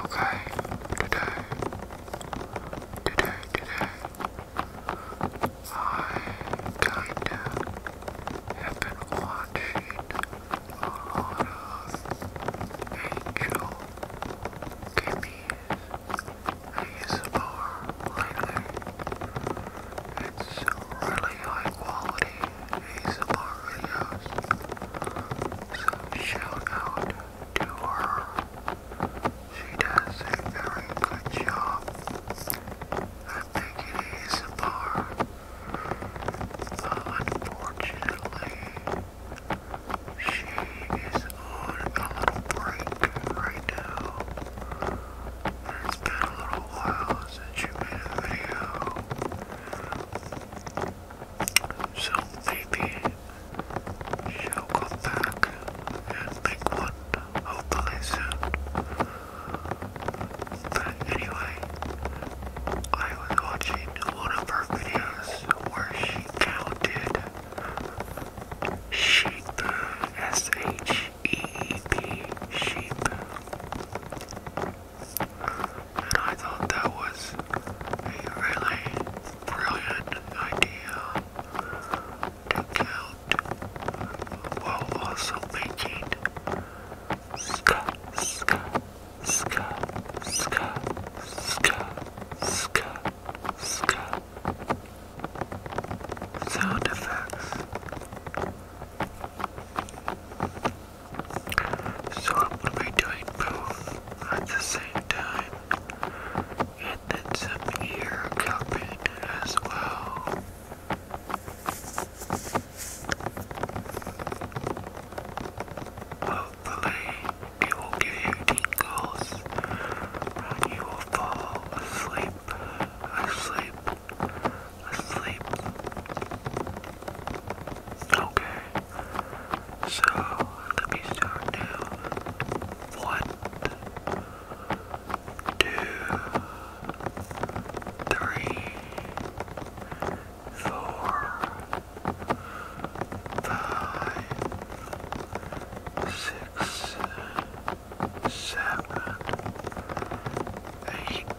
Okay, today, today, today, I have been watching a lot of Angel Kimmy's ASMR lately. It's really high quality ASMR videos, so shout out to her. She does a very good job. I think it is a bar. unfortunately, she is on a break right now. And it's been a little while since you made a video. So maybe she'll come back and make one, hopefully soon. But anyway, I was watching one of her videos where she counted sheep, S-H-E-E-P, sheep and I thought that was a really brilliant idea to count while also making ska, sound effects. So I'm going to be doing both at the same time and then some here cupping as well. Hopefully, it will give you tingles you will fall asleep, asleep, asleep. Okay. So let me start now. One, two, three, four, five, six, seven, eight, nine.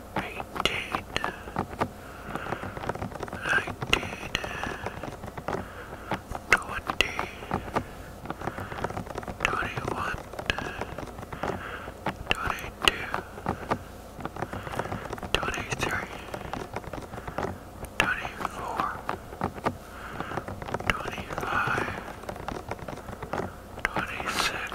I did. I did. Twenty. Twenty-one. Twenty-two. Twenty-three. Twenty-four. Twenty-five. Twenty-six.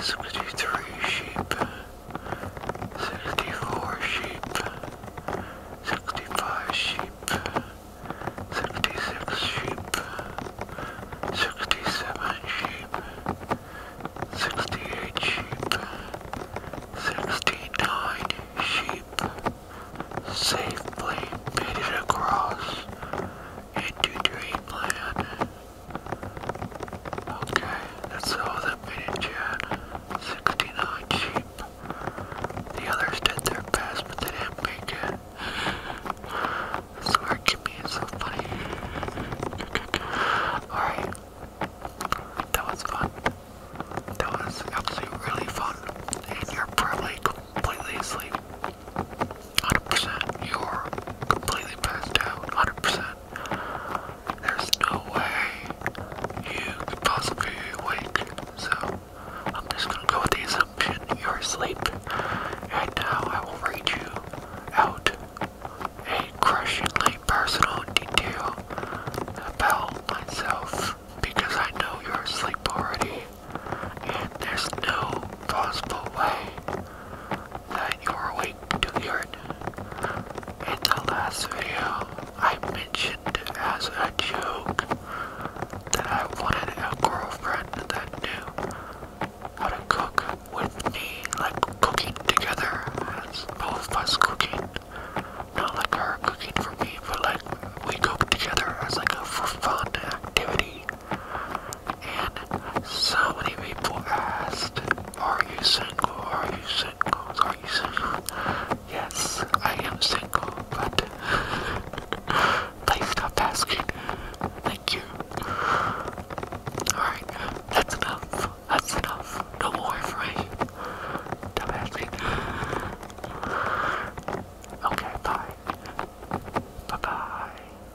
63 sheep, 64 sheep, 65 sheep, 66 sheep, 67 sheep, 68 sheep, 69 sheep safely made it across into dreamland. Okay, that's all that made it, uh, Chad. 69 sheep. The others did their best, but they didn't make it. Swear to me, it's so funny. Alright. That was fun. That was absolutely really fun. And you're probably completely asleep. 100%. You are completely passed out. 100%. There's no way you could possibly be awake. So, I'm just gonna go with the assumption you're asleep. And now I will read you out a crushingly personal detail about myself because I know you're asleep already. And there's no possible way that you were awake to hear it. In the last video, I mentioned as a joke that I wanted a girlfriend that knew how to cook with me, like cooking together, as both of us cooking. Not like her cooking for me, but like we cook together as like a fun activity. And so many people asked, Are you single? Are you single? Are you single? Yes, I am single, but please stop asking. Thank you. Alright, that's enough. That's enough. No more for me. Stop asking. Okay, bye. Bye bye.